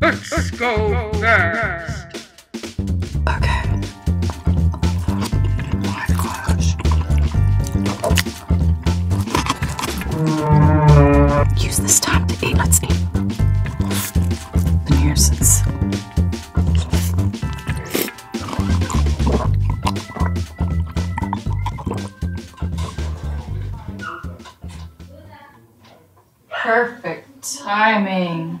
Let's go first. Okay. Use this time to eat. Let's eat. The nuisance. Perfect timing.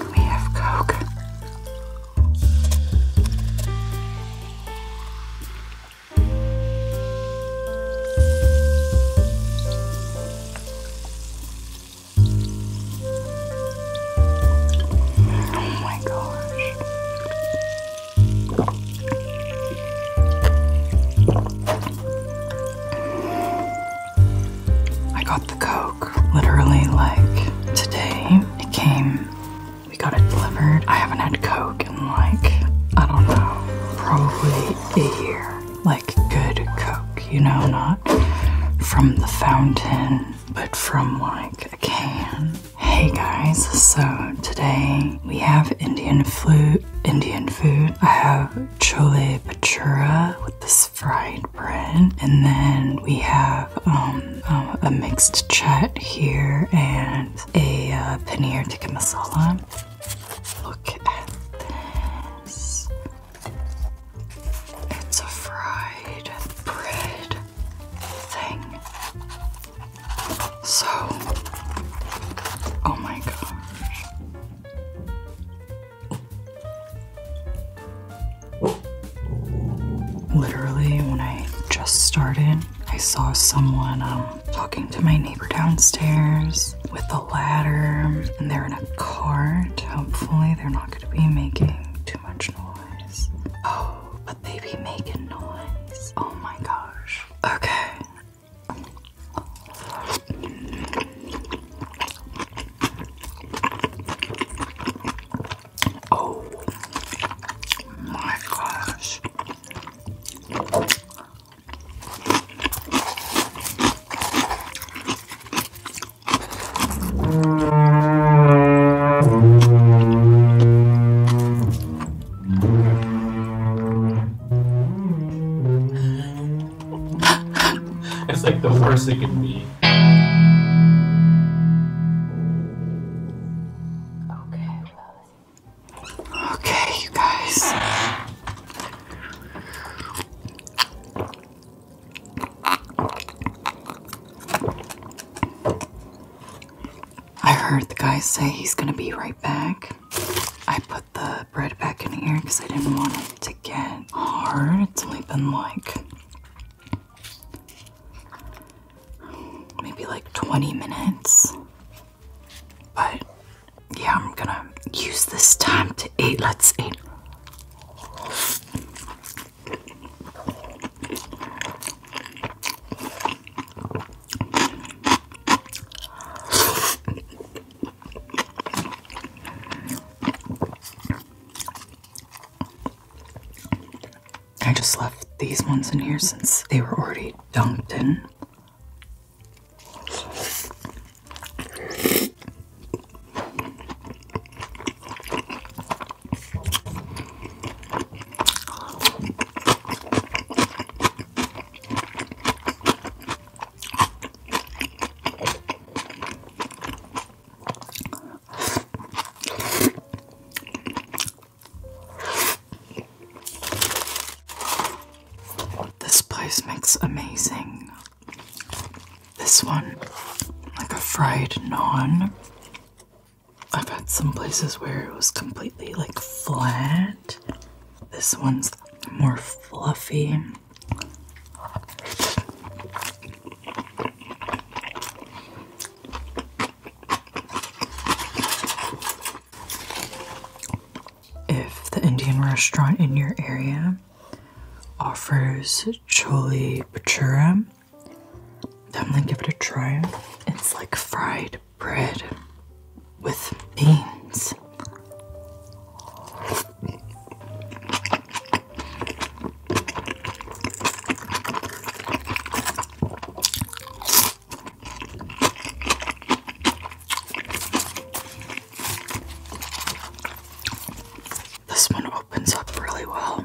We have Coke. Oh my gosh. I got the Coke literally like today. It came, we got it delivered. I haven't had Coke in like, I don't know, probably a year. Like good Coke, you know, not from the fountain, but from like a can. Hey guys, so today we have Indian food. Indian food. I have chole bhatura with this fried bread, and then we have um, um, a mixed chut here and a uh, paneer tikka masala. Look at this. It's a fried bread thing. So, oh my gosh. Literally, when I just started, I saw someone um, talking to my neighbor downstairs with a ladder, and they're in a cart. Hopefully, they're not going to be making too noise. Oh, but they be making noise. Oh my gosh. Okay. Oh my gosh. it's like the worst it could be. I heard the guy say he's gonna be right back. I put the bread back in here because I didn't want it to get hard. It's only been like maybe like 20 minutes. But yeah, I'm gonna use this time to eat. Let's eat. I just left these ones in here since they were already dunked in. This place makes amazing. This one, like a fried naan I've had some places where it was completely like flat. This one's more fluffy. If the Indian restaurant in your area offers chole bhatura, Definitely give it a try. It's like fried bread with beans. This one opens up really well.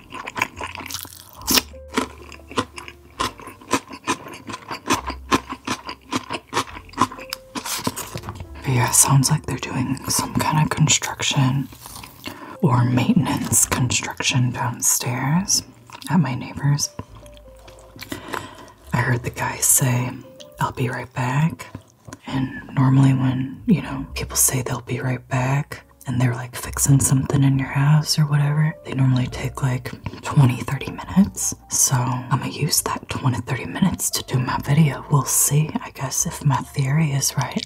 yeah, sounds like they're doing some kind of construction or maintenance construction downstairs at my neighbor's. I heard the guy say, I'll be right back. And normally, when you know people say they'll be right back, and they're like fixing something in your house or whatever, they normally take like 20 30 minutes. So I'm gonna use that 20 30 minutes to do my video. We'll see, I guess, if my theory is right.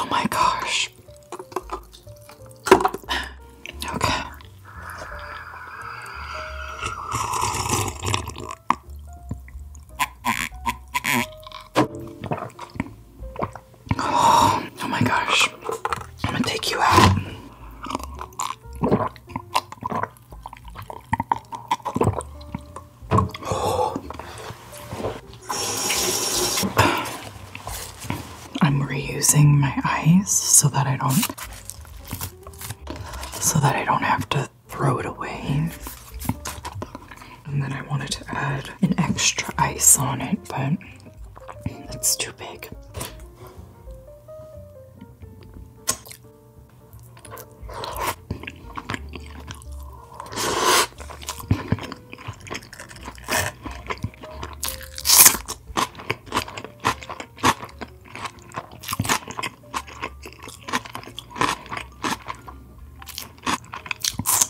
Oh my gosh. Okay. Oh, my gosh. I'm gonna take you out. I'm reusing my eyes so that I don't so that I don't have to throw it away. And then I wanted to add an extra ice on it, but it's too big.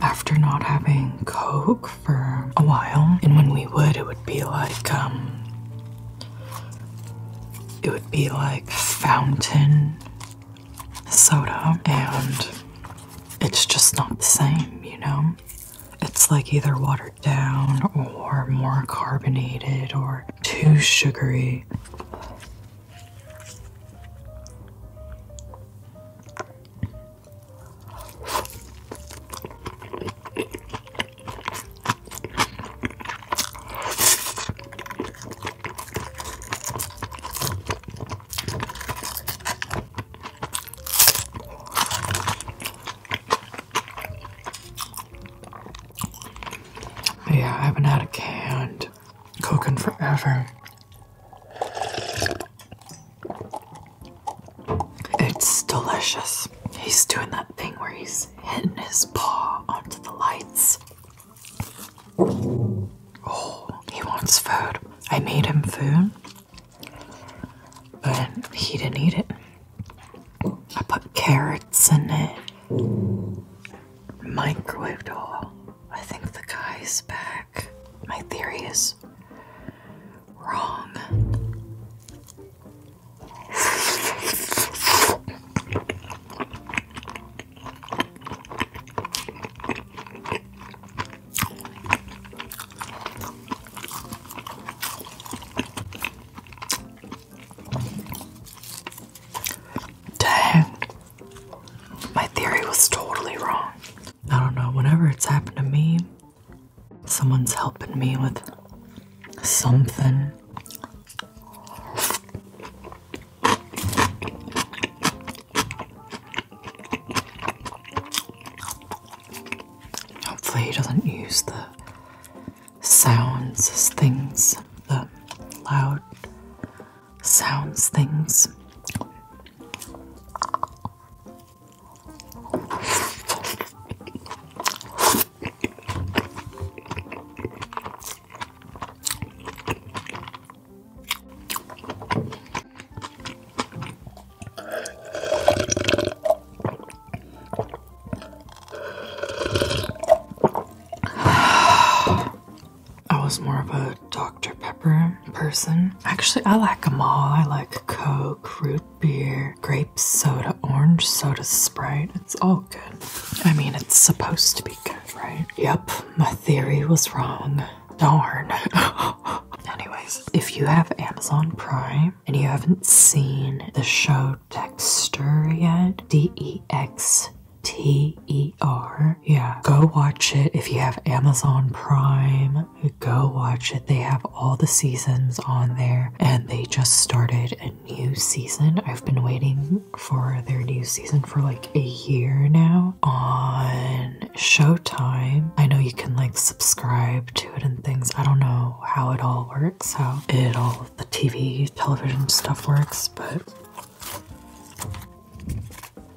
After not having Coke for a while, and when we would, it would be like, um, it would be like fountain soda, and it's just not the same, you know? It's like either watered down or more carbonated or too sugary. Yeah, I haven't had a canned Coke forever. It's delicious. He's doing that thing where he's hitting his paw onto the lights. Oh, he wants food. I made him food. But he didn't eat it. I put carrots in it, microwaved all. I think the guy's back. My theory is wrong. Dang. My theory was totally wrong. I don't know, whenever it's happened to me, someone's helping me with something. Hopefully, he doesn't use the sounds things, the loud sounds things. I was more of a Dr. Pepper person. Actually, I like them all. I like Coke, root beer, grape soda, orange soda, Sprite. It's all good. I mean, it's supposed to be good, right? Yep, my theory was wrong. Darn. Anyways, if you have Amazon Prime and you haven't seen the show Dexter yet, D E X T E R. Yeah, go watch it if you have Amazon Prime. Go watch it. They have all the seasons on there and they just started a new season. I've been waiting for their new season for like a year now on Showtime. I know you can like subscribe to it and things. I don't know how it all works, how it all the TV, television stuff works, but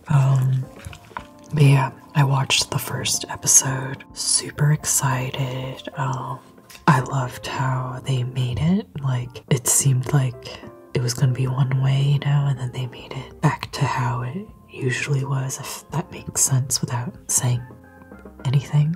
um but yeah, I watched the first episode. Super excited. Um I loved how they made it. Like, it seemed like it was going to be one way, you know, and then they made it back to how it usually was, if that makes sense without saying anything.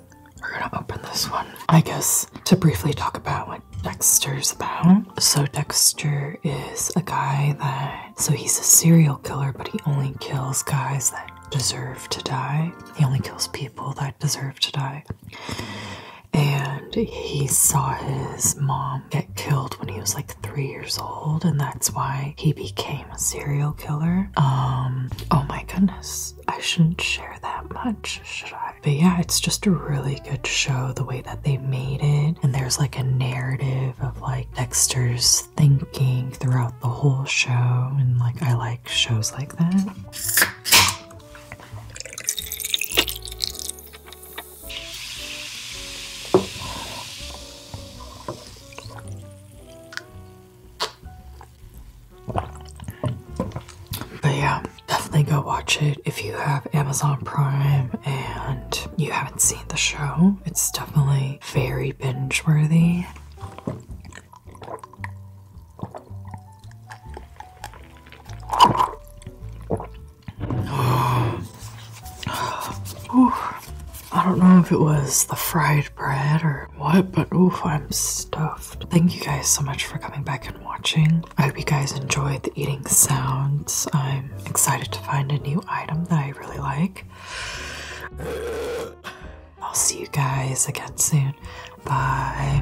We're gonna open this one, I guess, to briefly talk about what Dexter's about. So, Dexter is a guy that, so he's a serial killer, but he only kills guys that deserve to die. He only kills people that deserve to die. And he saw his mom get killed when he was like three years old, and that's why he became a serial killer. Um, oh my goodness. I shouldn't share that much, should I? But yeah, it's just a really good show the way that they made it. And there's like a narrative of like Dexter's thinking throughout the whole show. And like, I like shows like that. But yeah, definitely go watch it if you have Amazon Prime and you haven't seen the show. It's definitely very binge worthy. I don't know if it was the fried bread or what, but oh, I'm stuffed. Thank you guys so much for coming back and watching. I hope you guys enjoyed the eating sounds. I'm excited to find a new item that I really like. I'll see you guys again soon. Bye.